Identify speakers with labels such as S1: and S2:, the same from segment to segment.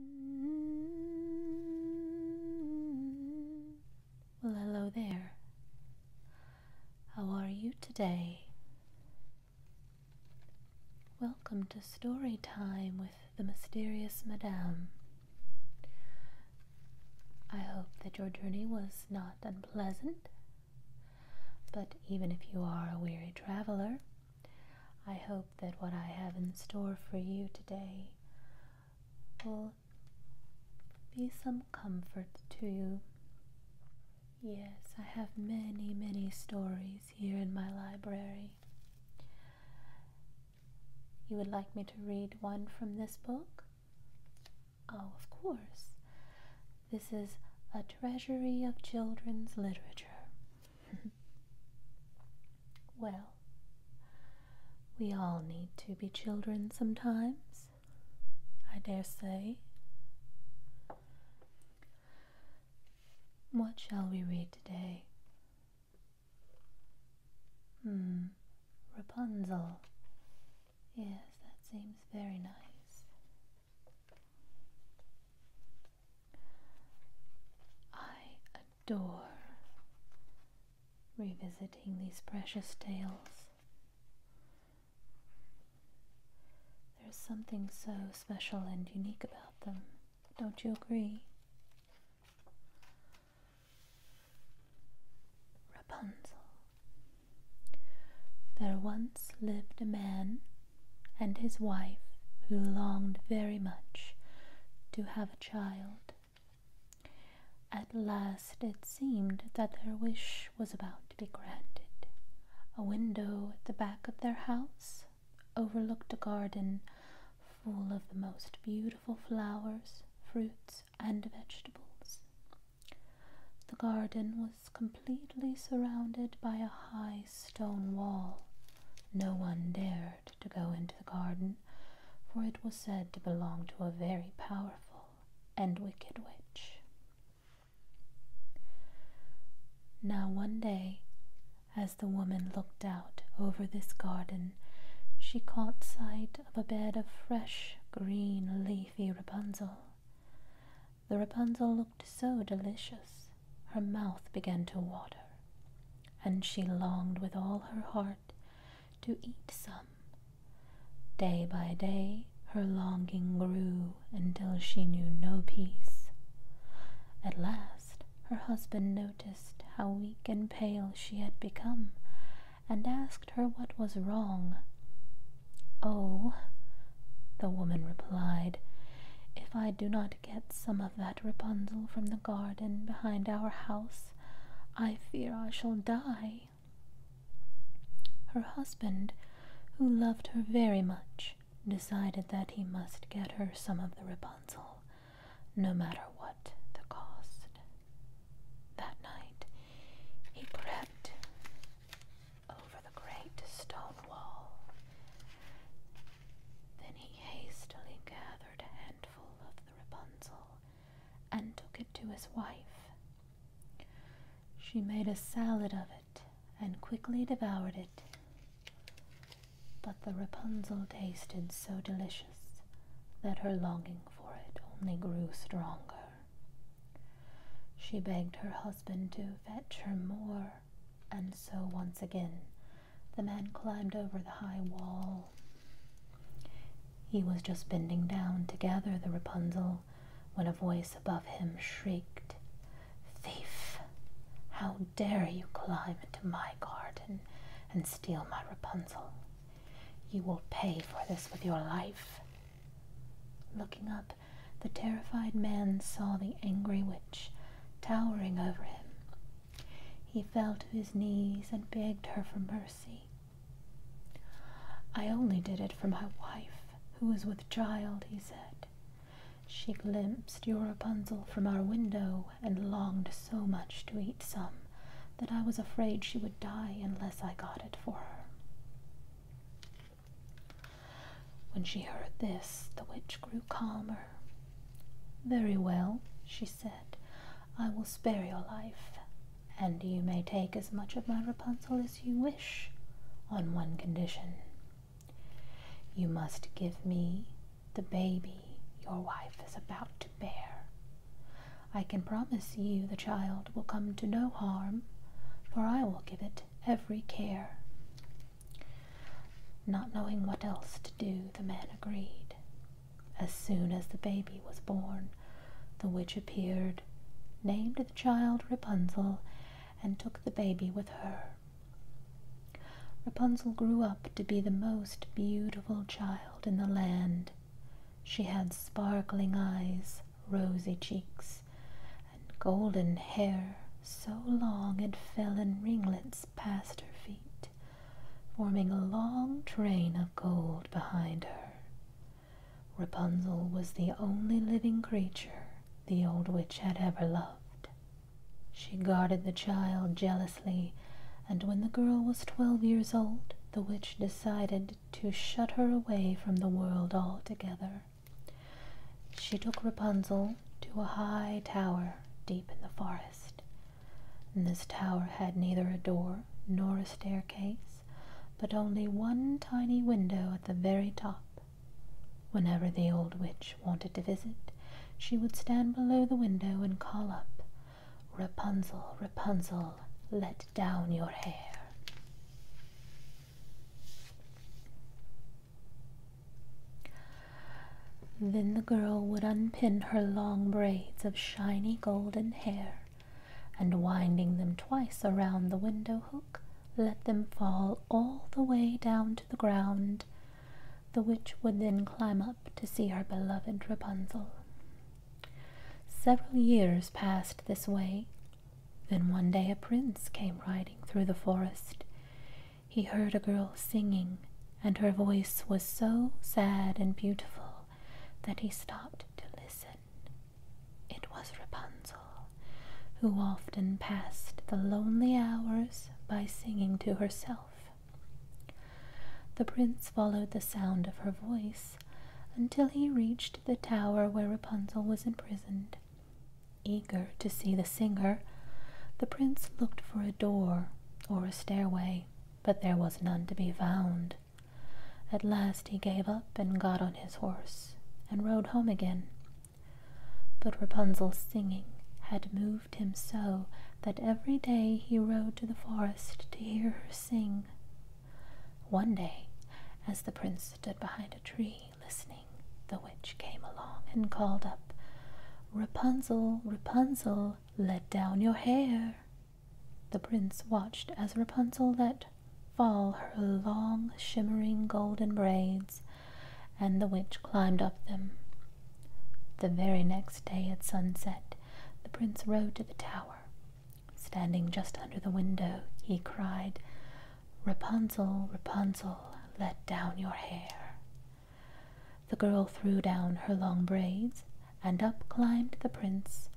S1: Mm. Well, hello there. How are you today? Welcome to story time with the mysterious Madame. I hope that your journey was not unpleasant, but even if you are a weary traveler, I hope that what I have in store for you today will be some comfort to you. Yes, I have many, many stories here in my library. You would like me to read one from this book? Oh, of course. This is A Treasury of Children's Literature well, we all need to be children sometimes, I dare say. What shall we read today? Hmm, Rapunzel. Yes, that seems very nice. I adore revisiting these precious tales. There's something so special and unique about them, don't you agree? Rapunzel. There once lived a man and his wife, who longed very much to have a child. At last it seemed that their wish was about to be granted. A window at the back of their house overlooked a garden full of the most beautiful flowers, fruits, and vegetables. The garden was completely surrounded by a high stone wall. No one dared to go into the garden, for it was said to belong to a very powerful and wicked witch. Now one day, as the woman looked out over this garden, she caught sight of a bed of fresh green leafy Rapunzel. The Rapunzel so delicious, her mouth began to water, and she longed with all her heart to eat some. Day by day her longing grew until she knew no peace. At last her husband noticed how weak and pale she had become, and asked her what was wrong. Oh, the woman replied, if I do not get some of that Rapunzel from the garden behind our house, I fear I shall die. Her husband, who loved her very much, decided that he must get her some of the Rapunzel, no matter what the cost. That night, he crept over the great stone wall then he hastily gathered a handful of the Rapunzel and took it to his wife. She made a salad of it and quickly devoured it. But the Rapunzel tasted so delicious that her longing for it only grew stronger. She begged her husband to fetch her more and so once again the man climbed over the high wall. He was just bending down to gather the Rapunzel when a voice above him shrieked, Thief! How dare you climb into my garden and steal my Rapunzel? You will pay for this with your life. Looking up, the terrified man saw the angry witch towering over him. He fell to his knees and begged her for mercy. I only did it for my wife, who is with child, he said. She glimpsed your Rapunzel from our window and longed so much to eat some that I was afraid she would die unless I got it for her. When she heard this, the witch grew calmer. Very well, she said, I will spare your life, and you may take as much of my Rapunzel as you wish, on one condition. You must give me the baby your wife is about to bear. I can promise you the child will come to no harm, for I will give it every care not knowing what else to do, the man agreed. As soon as the baby was born, the witch appeared, named the child Rapunzel, and took the baby with her. Rapunzel grew up to be the most beautiful child in the land. She had sparkling eyes, rosy cheeks, and golden hair so long it fell in ringlets past her feet, forming a long train of gold behind her. Rapunzel was the only living creature the old witch had ever loved. She guarded the child jealously, and when the girl was twelve years old, the witch decided to shut her away from the world altogether she took Rapunzel to a high tower deep in the forest. And this tower had neither a door nor a staircase, but only one tiny window at the very top. Whenever the old witch wanted to visit, she would stand below the window and call up, Rapunzel, Rapunzel, let down your hair. Then the girl would unpin her long braids of shiny golden hair, and winding them twice around the window hook, let them fall all the way down to the ground. The witch would then climb up to see her beloved Rapunzel. Several years passed this way, then one day a prince came riding through the forest. He heard a girl singing, and her voice was so sad and beautiful that he stopped to listen. It was Rapunzel, who often passed the lonely hours by singing to herself. The prince followed the sound of her voice until he reached the tower where Rapunzel was imprisoned. Eager to see the singer, the prince looked for a door or a stairway, but there was none to be found. At last he gave up and got on his horse and rode home again. But Rapunzel's singing had moved him so that every day he rode to the forest to hear her sing. One day, as the prince stood behind a tree, listening, the witch came along and called up, Rapunzel, Rapunzel, let down your hair. The prince watched as Rapunzel let fall her long, shimmering golden braids, and the witch climbed up them. The very next day at sunset, the prince rode to the tower. Standing just under the window, he cried, Rapunzel, Rapunzel, let down your hair. The girl threw down her long braids, and up climbed the prince.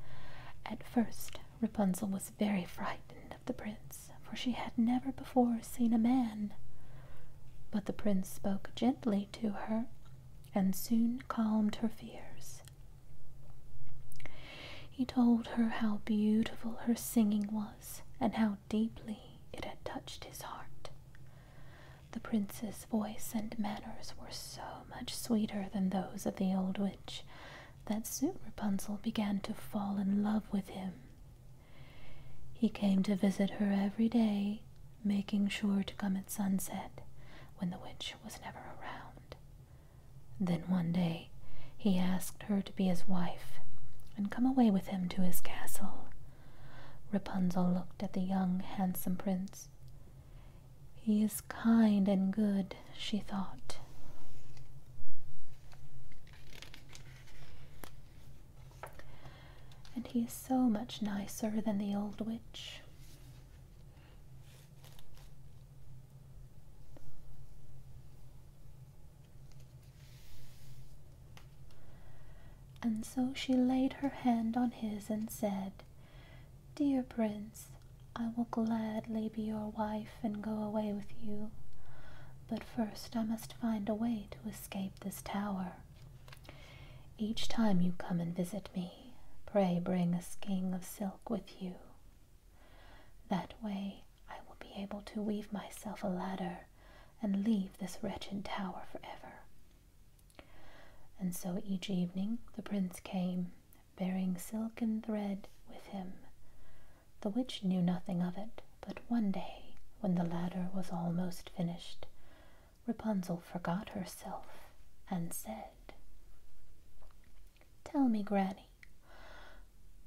S1: At first, Rapunzel was very frightened of the prince, for she had never before seen a man. But the prince spoke gently to her, and soon calmed her fears. He told her how beautiful her singing was, and how deeply it had touched his heart. The prince's voice and manners were so much sweeter than those of the old witch that soon Rapunzel began to fall in love with him. He came to visit her every day, making sure to come at sunset when the witch was never around. Then one day he asked her to be his wife and come away with him to his castle. Rapunzel looked at the young, handsome prince. He is kind and good, she thought. And he is so much nicer than the old witch. And so she laid her hand on his and said, Dear prince, I will gladly be your wife and go away with you, but first I must find a way to escape this tower. Each time you come and visit me, pray bring a skein of silk with you. That way I will be able to weave myself a ladder and leave this wretched tower for ever. And so each evening the prince came, bearing silken thread with him. The witch knew nothing of it, but one day, when the ladder was almost finished, Rapunzel forgot herself and said, Tell me, Granny,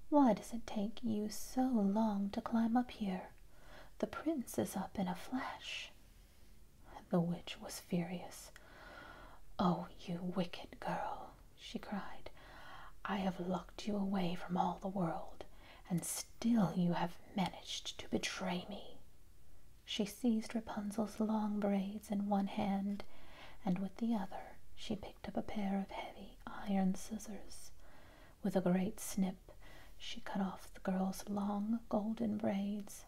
S1: why does it take you so long to climb up here? The prince is up in a flash. The witch was furious. Oh, you wicked girl, she cried. I have locked you away from all the world, and still you have managed to betray me. She seized Rapunzel's long braids in one hand, and with the other she picked up a pair of heavy iron scissors. With a great snip, she cut off the girl's long golden braids.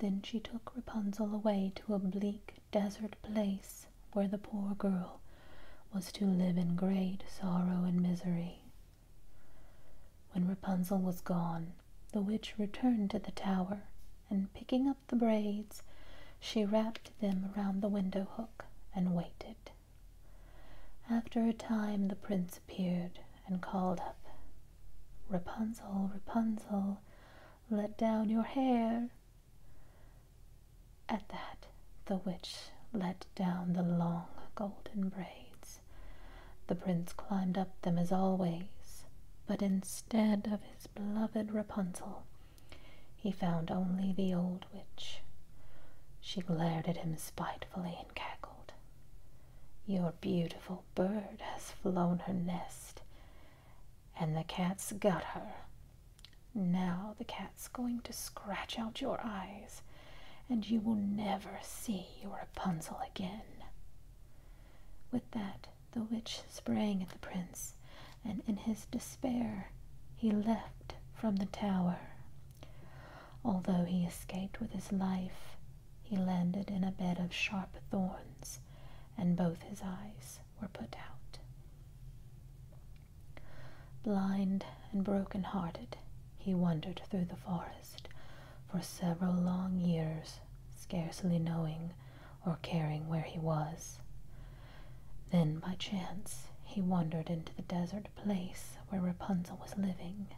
S1: Then she took Rapunzel away to a bleak desert place where the poor girl was to live in great sorrow and misery. When Rapunzel was gone, the witch returned to the tower and picking up the braids, she wrapped them round the window hook and waited. After a time, the prince appeared and called up, Rapunzel, Rapunzel, let down your hair. At that, the witch let down the long golden braids. The prince climbed up them as always, but instead of his beloved Rapunzel, he found only the old witch. She glared at him spitefully and cackled. Your beautiful bird has flown her nest, and the cat's got her. Now the cat's going to scratch out your eyes, and you will never see your Rapunzel again. With that, the witch sprang at the prince, and in his despair he leapt from the tower. Although he escaped with his life, he landed in a bed of sharp thorns, and both his eyes were put out. Blind and broken-hearted, he wandered through the forest for several long years, scarcely knowing or caring where he was. Then, by chance, he wandered into the desert place where Rapunzel was living.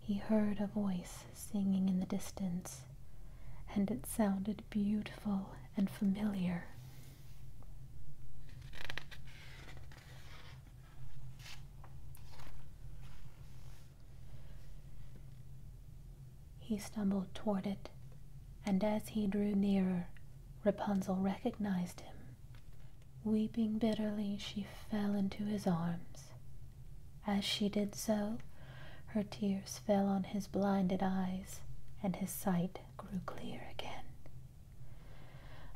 S1: He heard a voice singing in the distance, and it sounded beautiful and familiar. He stumbled toward it, and as he drew nearer, Rapunzel recognized him. Weeping bitterly, she fell into his arms. As she did so, her tears fell on his blinded eyes, and his sight grew clear again.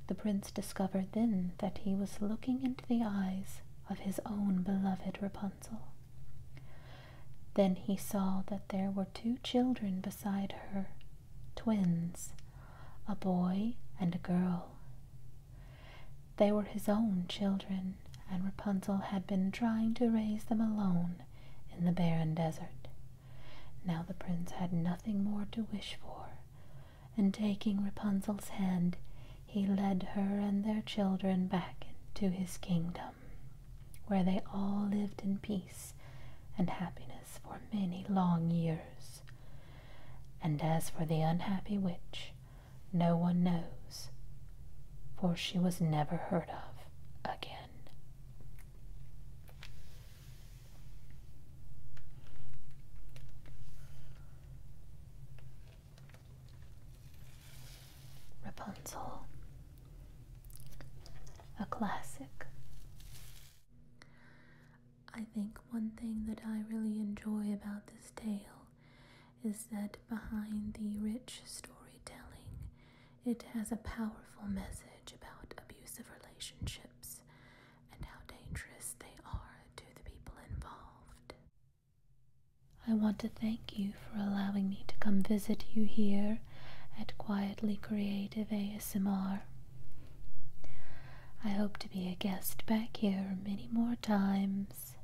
S1: The prince discovered then that he was looking into the eyes of his own beloved Rapunzel. Then he saw that there were two children beside her, twins, a boy and a girl. They were his own children, and Rapunzel had been trying to raise them alone in the barren desert. Now the prince had nothing more to wish for, and taking Rapunzel's hand, he led her and their children back to his kingdom where they all lived in peace and happiness for many long years. And as for the unhappy witch, no one knows, for she was never heard of again. Rapunzel, a classic. I think one thing that I really enjoy about this tale is that behind the rich storytelling, it has a powerful message about abusive relationships and how dangerous they are to the people involved. I want to thank you for allowing me to come visit you here at Quietly Creative ASMR. I hope to be a guest back here many more times.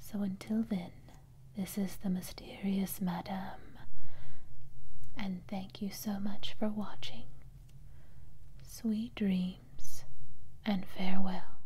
S1: So until then, this is the mysterious Madame, and thank you so much for watching. Sweet dreams, and farewell.